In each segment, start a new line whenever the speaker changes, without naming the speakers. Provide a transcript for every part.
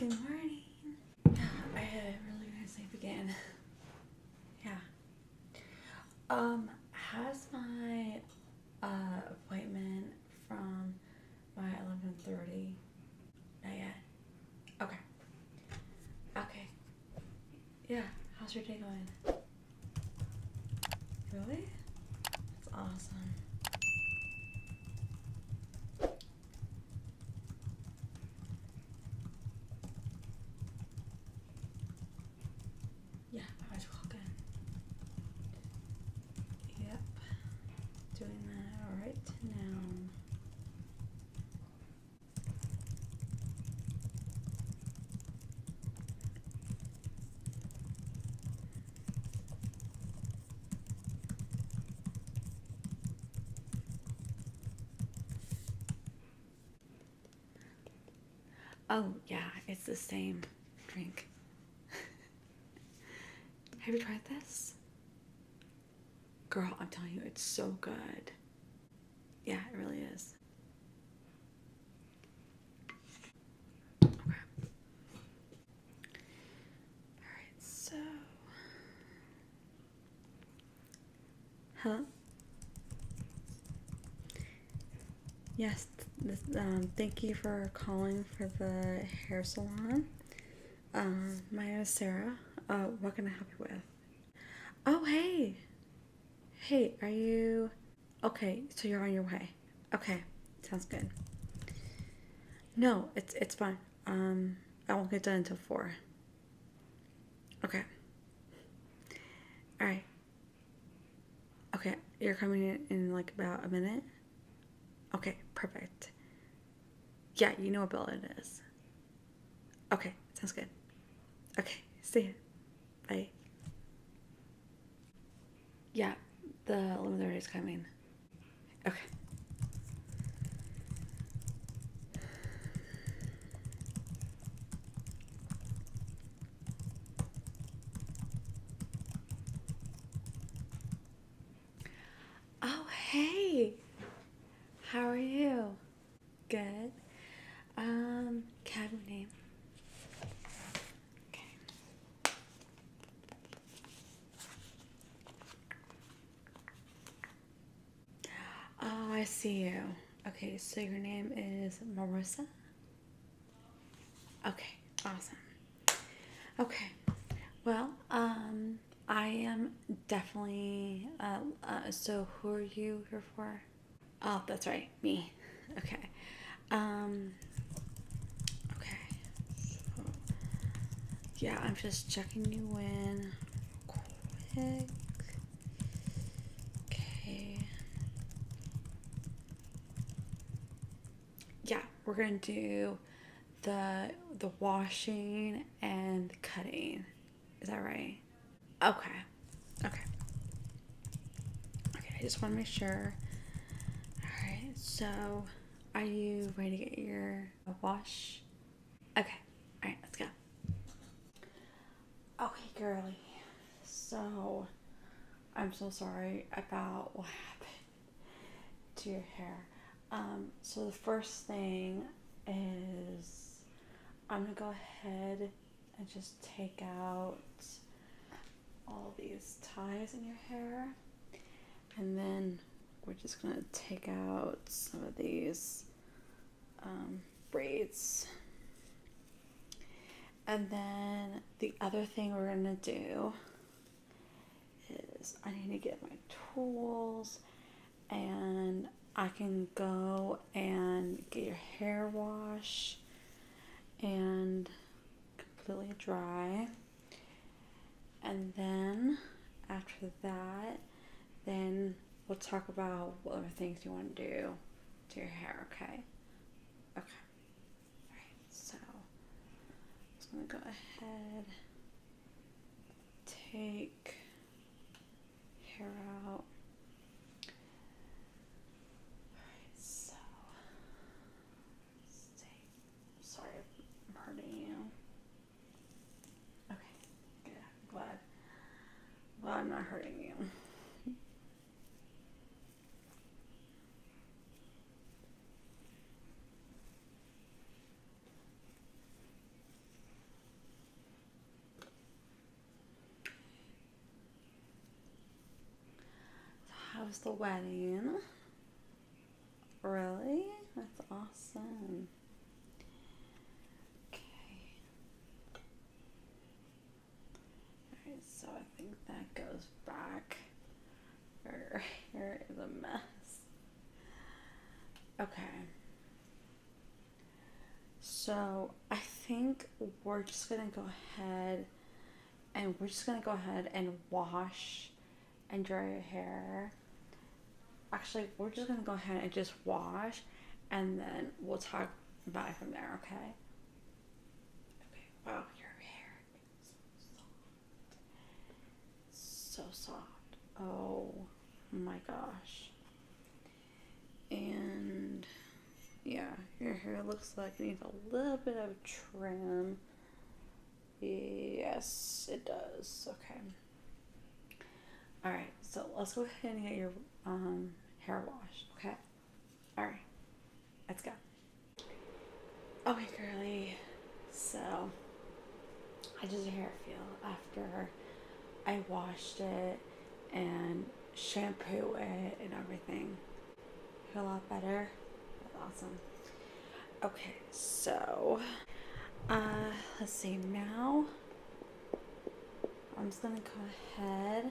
Good morning. I had a really good nice sleep again. Yeah. Um, has my uh, appointment from my 11.30, not yet? Okay. Okay. Yeah, how's your day going? Really? That's awesome. Yeah, I was walking. Yep, doing that right now. Oh, yeah, it's the same drink. Have you tried this? Girl, I'm telling you, it's so good. Yeah, it really is. Alright, so. Huh? Yes, um, thank you for calling for the hair salon. Um, my name is Sarah. Uh, what can I help you with? Oh, hey. Hey, are you... Okay, so you're on your way. Okay, sounds good. No, it's, it's fine. Um, I won't get done until 4. Okay. Alright, Okay, you're coming in in like about a minute? Okay, perfect. Yeah, you know what bill it is. Okay, sounds good. Okay, see you. Bye. Yeah, the limiter is coming. Okay. Oh, hey! How are you? Good. Um, cabin name. Okay. Oh, I see you. Okay, so your name is Marissa? Okay, awesome. Okay, well, um, I am definitely. Uh, uh, so, who are you here for? Oh, that's right, me. Okay. Um, okay. yeah, I'm just checking you in quick. Okay yeah, we're gonna do the the washing and the cutting. Is that right? Okay. Okay. Okay, I just want to make sure. Alright, so are you ready to get your wash? Okay. Alright, let's go. Okay, girly. So I'm so sorry about what happened to your hair. Um, so the first thing is I'm gonna go ahead and just take out all these ties in your hair and then we're just gonna take out some of these um, braids and then the other thing we're going to do is I need to get my tools and I can go and get your hair wash and completely dry. And then after that, then we'll talk about whatever things you want to do to your hair, okay? Okay so I'm just going to go ahead, take hair out. Alright, so Sorry I'm hurting you. Okay, good. I'm glad. I'm not hurting you. So how's the wedding? Really? That's awesome. Okay so I think that goes back. Her hair is a mess. Okay. So I think we're just gonna go ahead and we're just gonna go ahead and wash and dry your hair. Actually, we're just gonna go ahead and just wash and then we'll talk about it from there, okay? Wow, your hair so soft. Oh my gosh. And yeah, your hair looks like it needs a little bit of trim. Yes, it does. Okay. All right, so let's go ahead and get your um, hair washed. Okay. All right, let's go. Okay, girly. So I did a hair feel after I washed it and shampooed it and everything. I a lot better. awesome. Okay, so uh, let's see now. I'm just gonna go ahead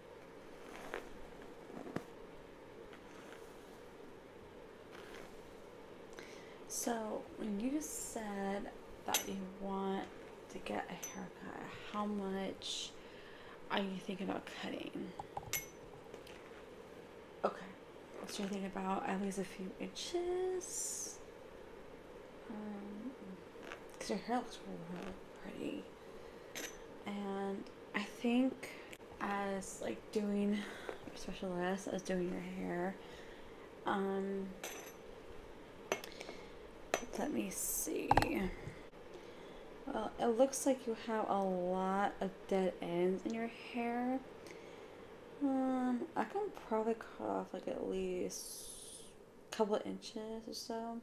So, when you said that you want to get a haircut, how much are you thinking about cutting? Okay, so you're thinking about at least a few inches. Um, because your hair looks really pretty. And I think as like doing special list as doing your hair, um, let me see. Well, it looks like you have a lot of dead ends in your hair. Um, I can probably cut off like at least a couple inches or so.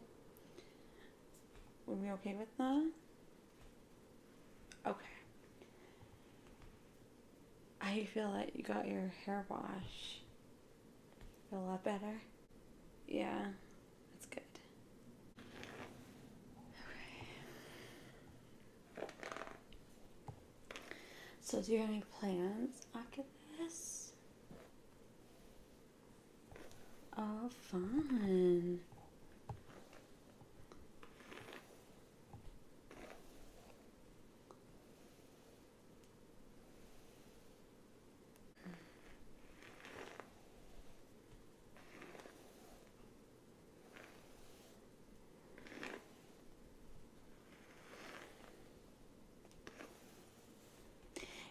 Would be okay with that? Okay. I feel like you got your hair wash. Feel a lot better? Yeah, that's good. Okay. So do you have any plans after this? Oh, fine.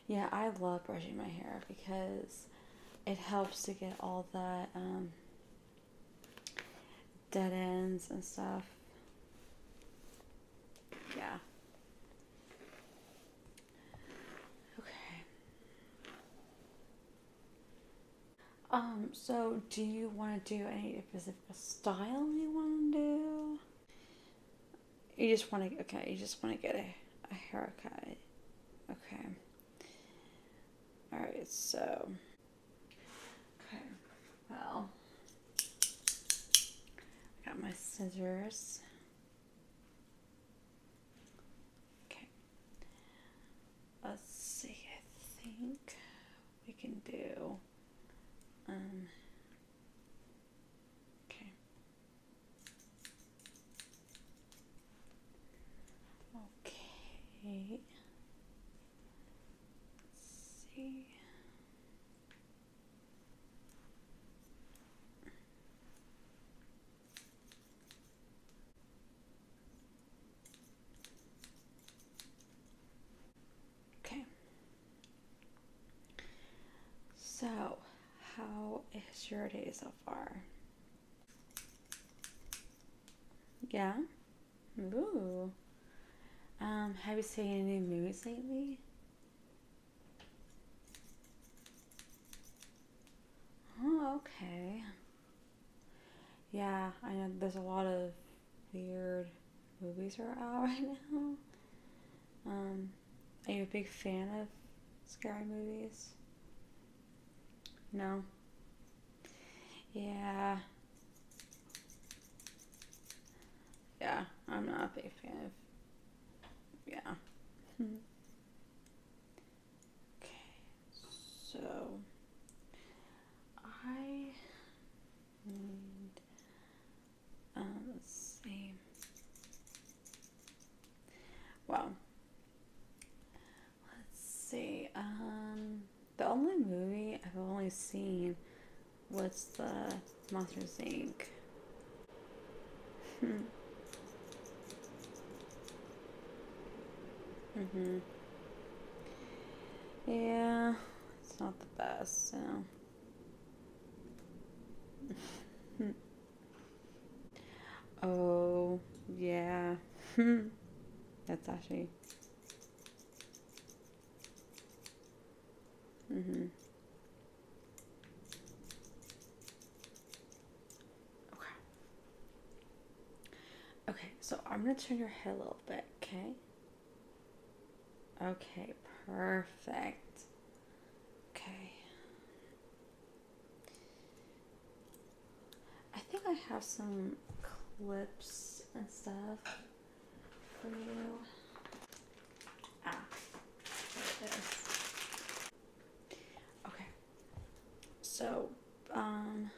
Yeah, I love brushing my hair because it helps to get all the um, dead ends and stuff. Yeah. Okay. Um, so do you want to do any specific style you want to do? You just want to, okay, you just want to get a, a haircut. Okay. Alright, so. Okay, well. I got my scissors. Okay. Let's see, I think we can do. Um. Okay. Okay. see. Okay. So how is your day so far? Yeah? Ooh. Um, have you seen any movies lately? Oh, okay. Yeah, I know there's a lot of weird movies are out right now. Um, are you a big fan of scary movies? No. Yeah. Yeah, I'm not a big fan Yeah. Hmm. okay, so I need. Um, let's see. Well, Let's see. Um, the only movie I've only seen was the Monster Inc. Hmm. Mm-hmm. Yeah, it's not the best, so. Hmm. Oh, yeah. That's actually. Mm-hmm. Okay. Okay, so I'm gonna turn your head a little bit, okay? Okay, perfect. Okay. I think I have some clips and stuff for you. Ah, Okay. So, um,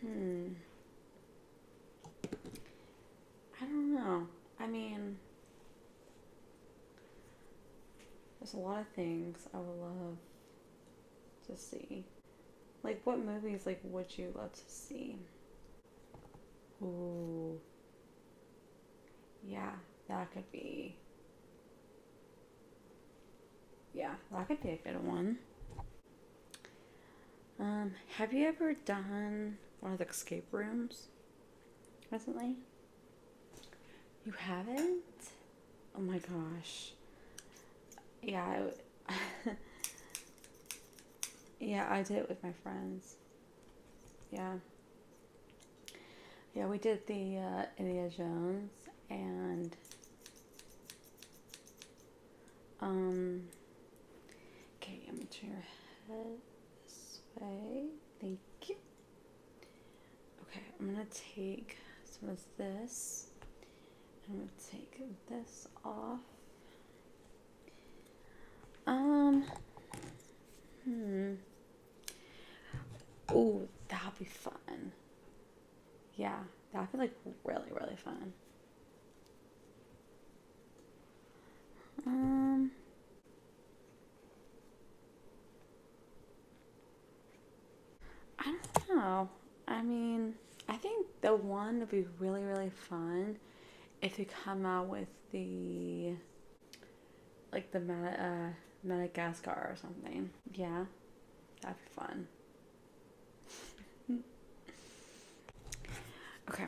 hmm. I don't know. I mean, there's a lot of things I would love to see. Like, what movies, like, would you love to see? Ooh. Yeah, that could be... Yeah, that could be a good one. Um, have you ever done one of the escape rooms recently? You haven't? Oh my gosh. Yeah, I, yeah, I did it with my friends. Yeah. Yeah, we did the uh, Indiana Jones and um. Okay, I'm gonna turn your head this way. Thank you. Okay, I'm gonna take some of this. I'm gonna take this off. Um, hmm. Oh, that'll be fun. Yeah, that'd be like really, really fun. Um, I don't know. I mean, I think the one would be really, really fun if you come out with the like the uh, Madagascar or something. Yeah, that'd be fun. okay.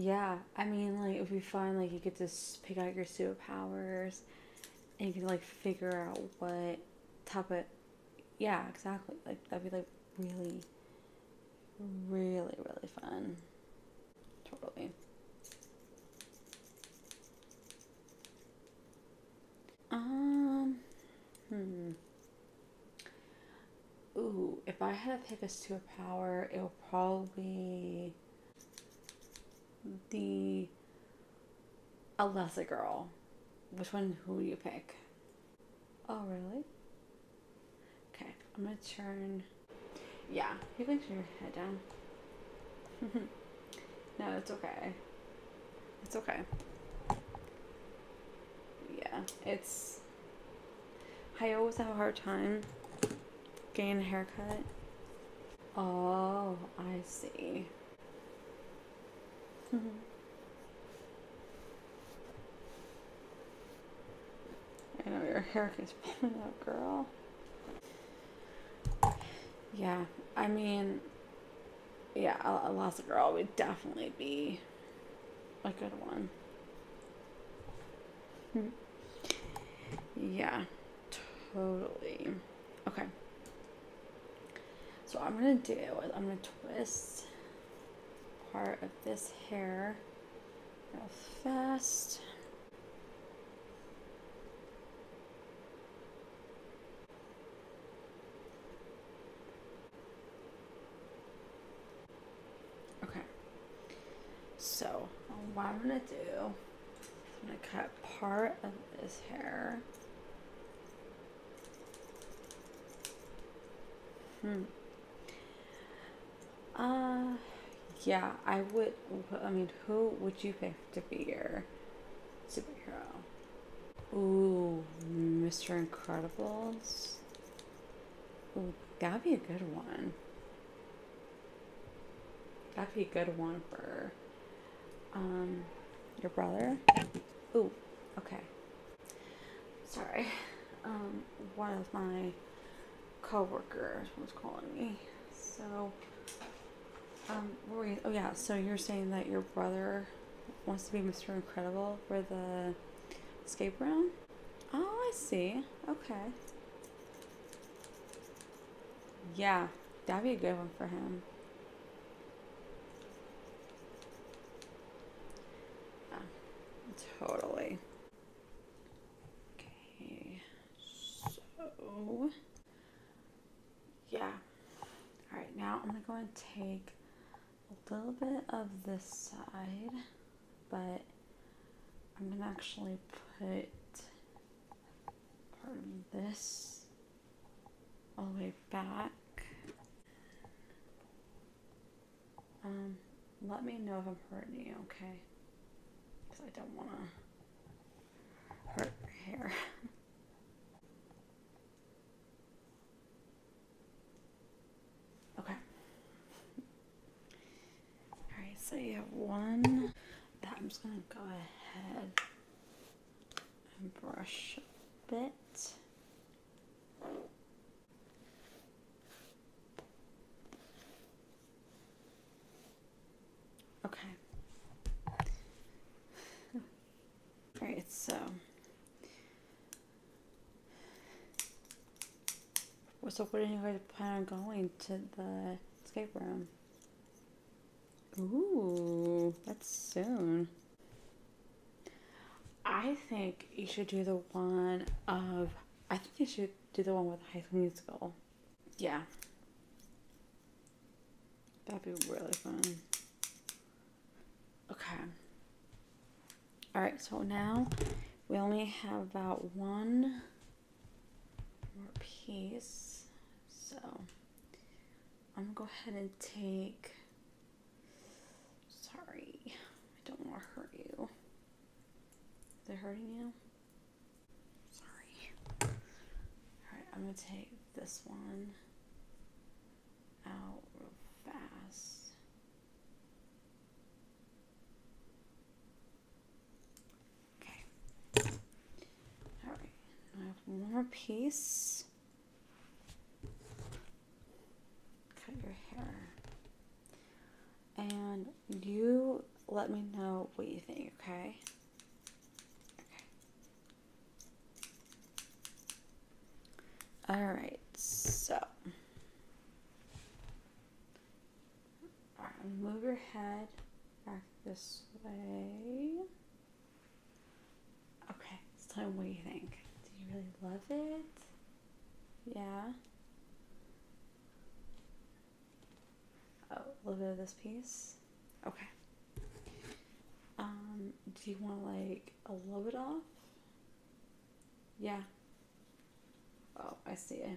Yeah, I mean, like, it'd be fun. Like, you could just pick out your superpowers, and you could like figure out what type of, yeah, exactly. Like, that'd be like really, really, really fun. Totally. Um, hmm. Ooh, if I had to pick a superpower, it would probably the a lesser girl. Which one? Who do you pick? Oh, really? Okay, I'm gonna turn. Yeah, you can turn your head down. no, it's okay. It's okay yeah, it's. I always have a hard time getting a haircut. Oh, I see. Mm-hmm. I know your hair is pulling up, girl. Yeah, I mean, yeah, a, a lost girl would definitely be a good one. Hmm. Yeah, totally. Okay. So I'm gonna do I'm gonna twist part of this hair real fast. Okay. So, what I'm going to do, I'm going to cut part of this hair. Hmm. Uh, yeah, I would, I mean, who would you pick to be your superhero? Ooh, Mr. Incredibles. Ooh, that'd be a good one. That'd be a good one for um your brother. Ooh, okay. Sorry. Um, one of my coworkers was calling me. So, um, oh yeah, so you're saying that your brother wants to be Mr. Incredible for the escape room. Oh, I see. Okay. Yeah, that'd be a good one for him. totally. Okay, so yeah. All right, now I'm gonna go and take a little bit of this side, but I'm gonna actually put part of this all the way back. Um, let me know if I'm hurting you, okay? Because I don't want to hurt your hair. Okay. Alright, so you have one that I'm just going to go ahead and brush a bit. Okay. Alright, so so where are you guys plan on going to the escape room? Ooh, that's soon. I think you should do the one of. I think you should do the one with High School Musical. Yeah. That'd be really fun. Okay. All right, so now we only have about one more piece. So I'm gonna go ahead and take, sorry, I don't wanna hurt you. Is it hurting you? Sorry. All right, I'm gonna take this one out real fast. Okay. Alright, I have one more piece. Cut your hair. And you let me know what you think, okay? Okay. All right, so move your head back this way. Okay, it's time. What do you think? Do you really love it? Yeah. Oh, a little bit of this piece. Okay. Um, do you want to like a little bit off. Yeah. Oh, I see it.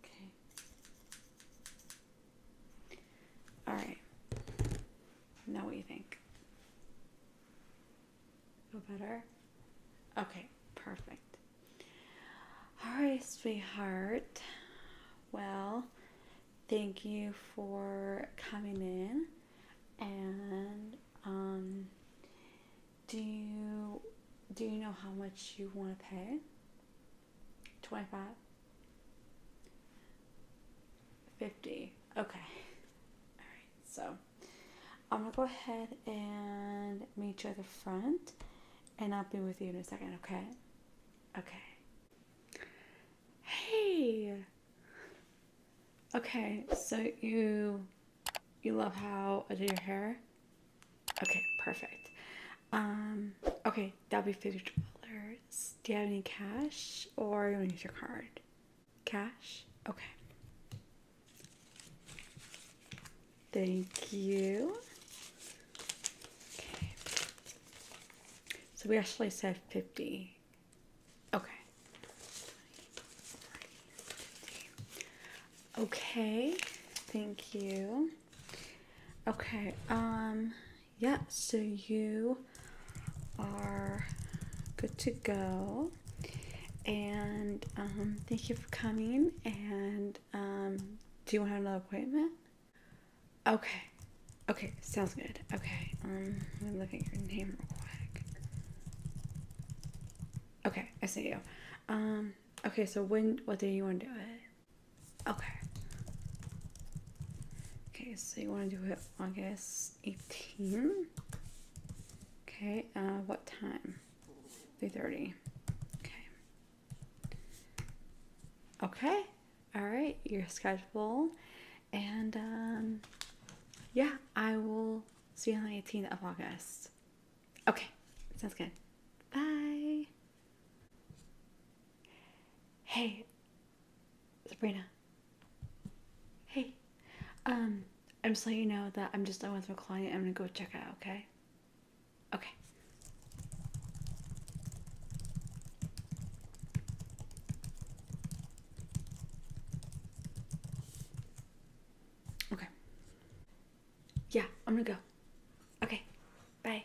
Okay. All right. Now what you think? Feel better? Okay, perfect. All right, sweetheart. Well, Thank you for coming in. And um, do you do you know how much you want to pay? Twenty five. 50 okay all right so i'm gonna go ahead and meet you at the front and i'll be with you in a second okay okay Hey. Okay, so you you love how I did your hair? Okay, perfect. Um, okay, that'll be fifty dollars. Do you have any cash or you wanna use your card? Cash? Okay. Thank you. Okay. So we actually said 50 Okay. Okay, thank you. Okay, um, yeah, so you are good to go. And um, thank you for coming. And um, do you want another appointment? Okay. Okay, sounds good. Okay, um, let me look at your name real quick. Okay, I see you. Um, okay, so when, what day you want to do it? Okay. Okay, so you want to do it August 18? Okay, uh, what time? 3.30. Okay. Okay, all right, right, you're schedule and um, yeah, I will see you on the 18th of August. Okay, sounds good. Bye. Hey, Sabrina. Hey, um, I'm just letting you know that I'm just done with my client. I'm gonna go check out, okay? Okay. Okay. Yeah, I'm gonna go. Okay, bye.